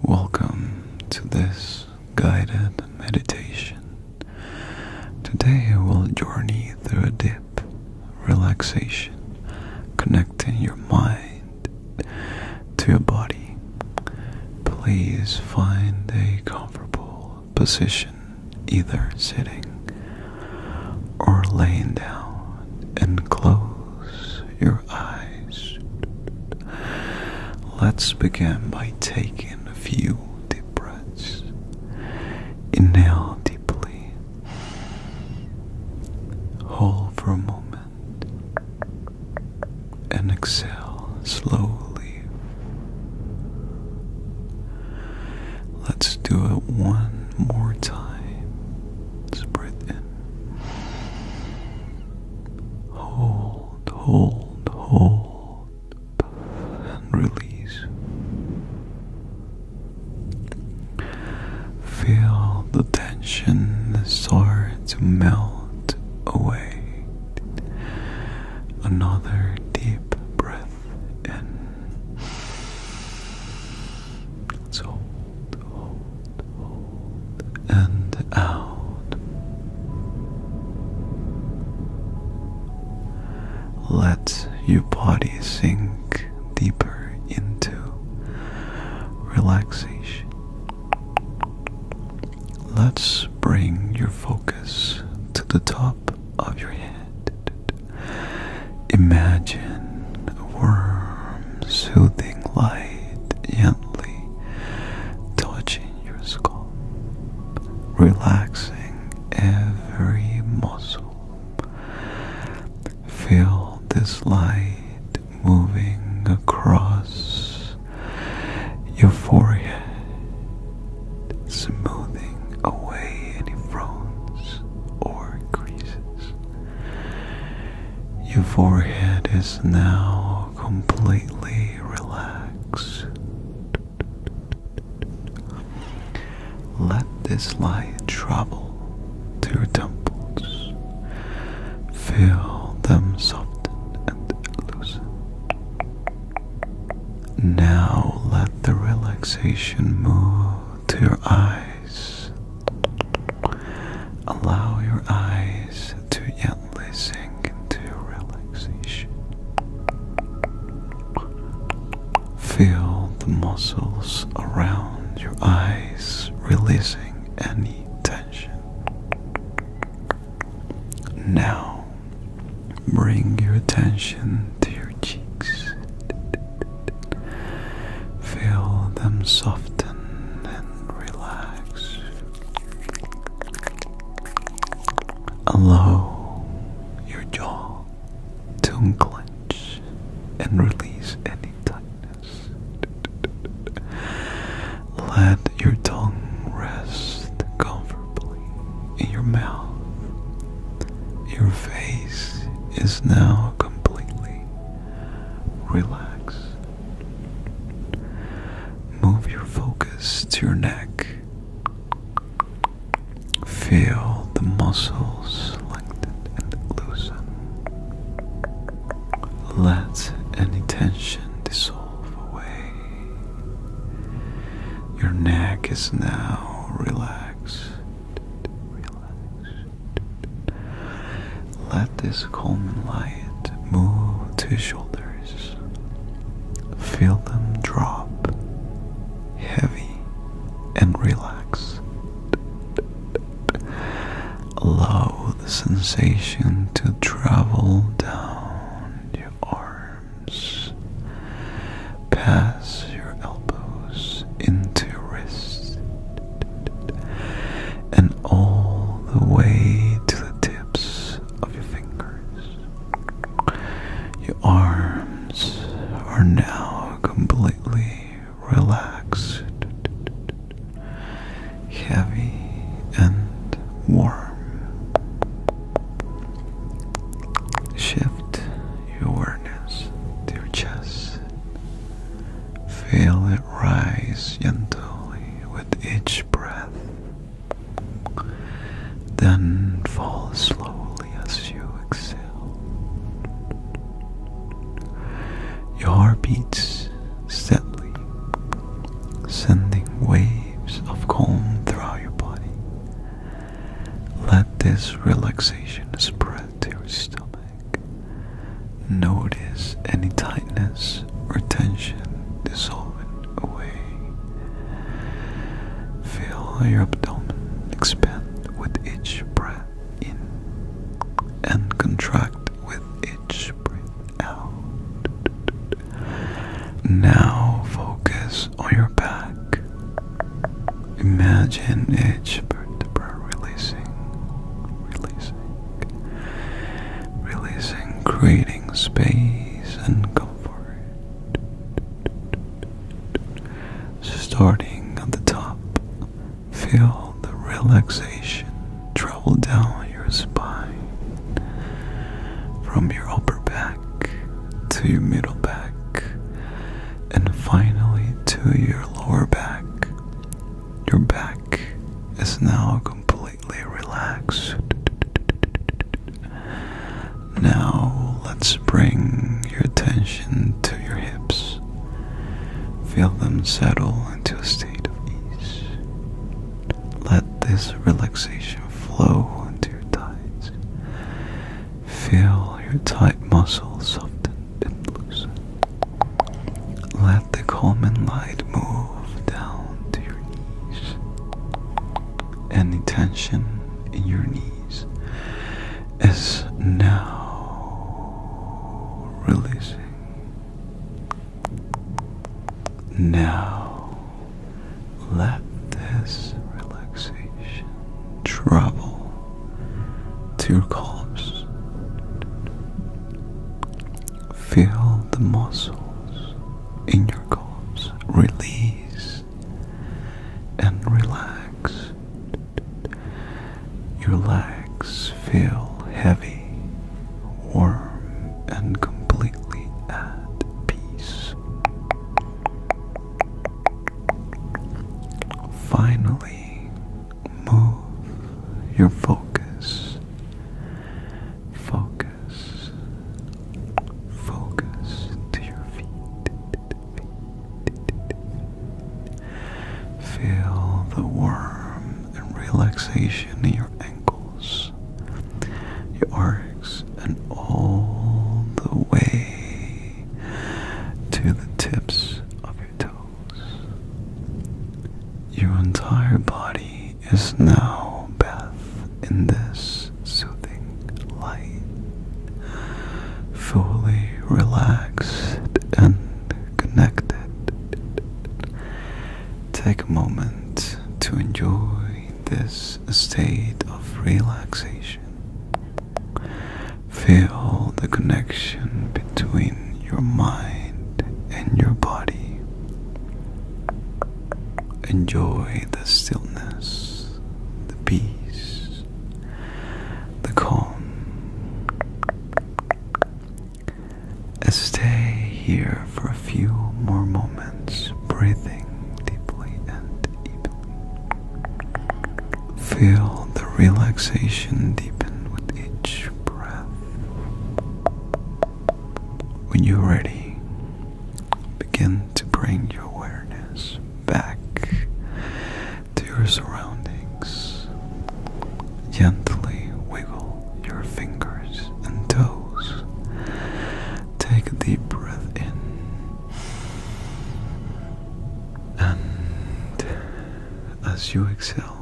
Welcome to this guided meditation. Today we'll journey through a deep relaxation, connecting your mind to your body. Please find a comfortable position, either sitting or laying down, and close your eyes. Let's begin by taking a few deep breaths. Inhale deeply. Hold for a moment. And exhale slowly. Let's do it one more time. let in Hold, hold, hold, and release. Feel the tension start to melt away. Another deep breath in. Let's hold, hold, and out. Let your body sink deeper into relaxation. Let's bring your focus to the top of your head. Imagine a warm, soothing light gently touching your skull, relaxing every muscle. Feel this light moving across your forehead, smoothing away any frown. Or creases, your forehead is now completely relaxed. Let this light travel to your temples. Feel them soft and loosen. Now let the relaxation move to your eyes. Allow your eyes to gently sink into relaxation. Feel the muscles around your eyes releasing any tension. Now, bring your attention to your cheeks. Feel them soften and relax. Allow your jaw to unclench and release any tightness. Let your tongue rest comfortably in your mouth your face is now completely relaxed. Move your focus to your neck. Feel the muscles lengthen and loosen. Let any tension dissolve away. Your neck is now relaxed. Let this Coleman light move to shoulders. Feel them drop, heavy and relax. Allow the sensation to travel down your arms pass your elbows into your wrists and all the way to the tips of your fingers. Your arms are now completely relaxed, heavy, and warm. Shift your awareness to your chest. Feel it rise gently with each breath, then fall slowly as you exhale. Your heart beats steadily, sending waves of calm throughout your body let this relaxation spread to your stomach. Notice any tightness or tension dissolving away. Feel your abdomen expand with each breath in and contract with each breath out. Now focus on your back. Imagine each vertebra releasing, releasing, releasing, creating space and comfort. Starting at the top, feel the relaxation travel down your spine from your upper back to your middle back, and finally to your lower back. Your back is now completely relaxed. Now let's bring your attention to your hips. Feel them settle into a state of ease. Let this relaxation flow into Feel your tight muscles soften and loosen. Let the calming light move down to your knees. Any tension in your knees is now releasing. Now let this relaxation travel to your calves. Feel the muscles in your calves release and relax. Your legs feel heavy warm and completely at peace. Finally, move your focus, focus, focus to your feet. Feel the warmth and relaxation in your ankles your arms, and all the way to the tips of your toes. Your entire body is now bathed in this soothing light, fully relaxed and connected. Take a moment to enjoy this state of relaxation. Feel the connection between your mind and your body. Enjoy the stillness, the peace, the calm. Stay here for a few more moments, breathing deeply and deeply. Feel the relaxation deepen with each breath. When you're ready, begin to bring your awareness back to your surroundings. Gently wiggle your fingers and toes. Take a deep breath in, and as you exhale,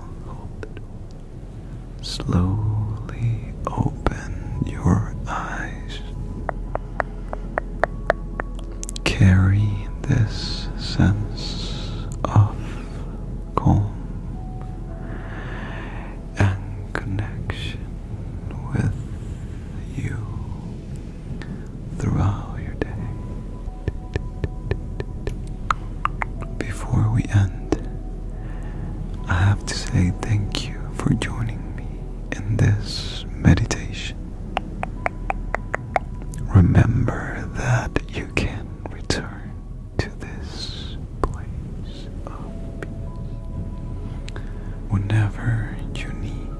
Slowly open your eyes. Carry this sense of calm and connection with you throughout your day. Before we end, I have to say thank you for joining me in this meditation. Remember that you can return to this place of peace whenever you need.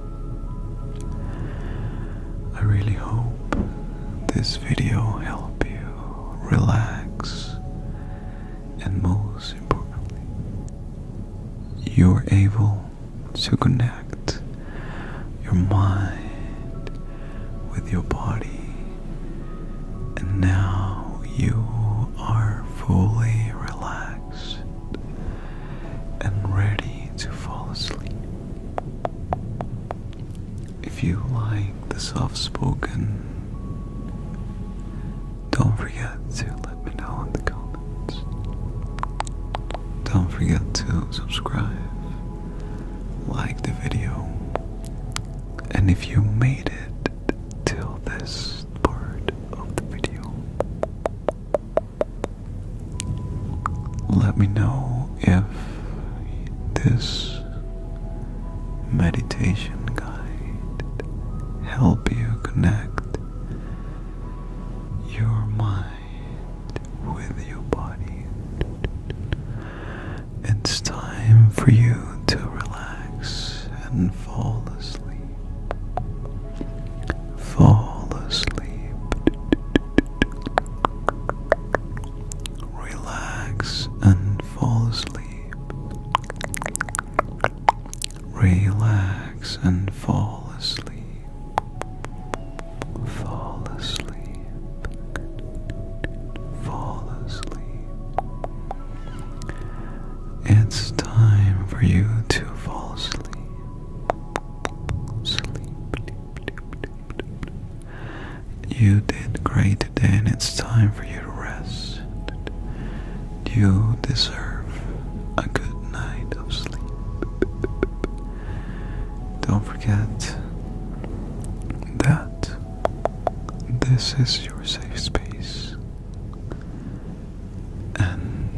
I really hope this video helped you relax and most importantly, you're able to connect your mind with your body, and now you are fully relaxed and ready to fall asleep. If you like the soft spoken, don't forget to let me know in the comments. Don't forget to subscribe like the video. And if you made it till this part of the video, let me know if this meditation guide help you connect your mind with your body. It's time for you to relax and fall asleep. Fall asleep. Relax and fall asleep. Relax and fall asleep. Fall asleep. Fall asleep. It's time for you to fall asleep. Sleep. You did great today, and it's time for you to rest. You deserve a good night of sleep. Don't forget that this is your safe space. And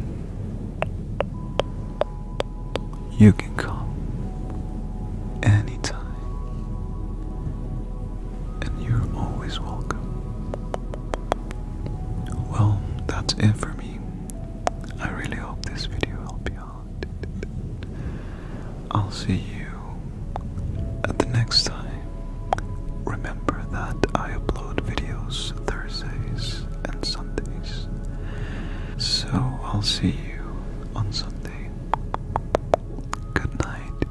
you can come anytime, and you're always welcome. Well, that's it for me. I really hope this video helped you out. I'll see you at the next time. Remember that I upload videos Thursdays and Sundays. So I'll see you on Sunday. Good night.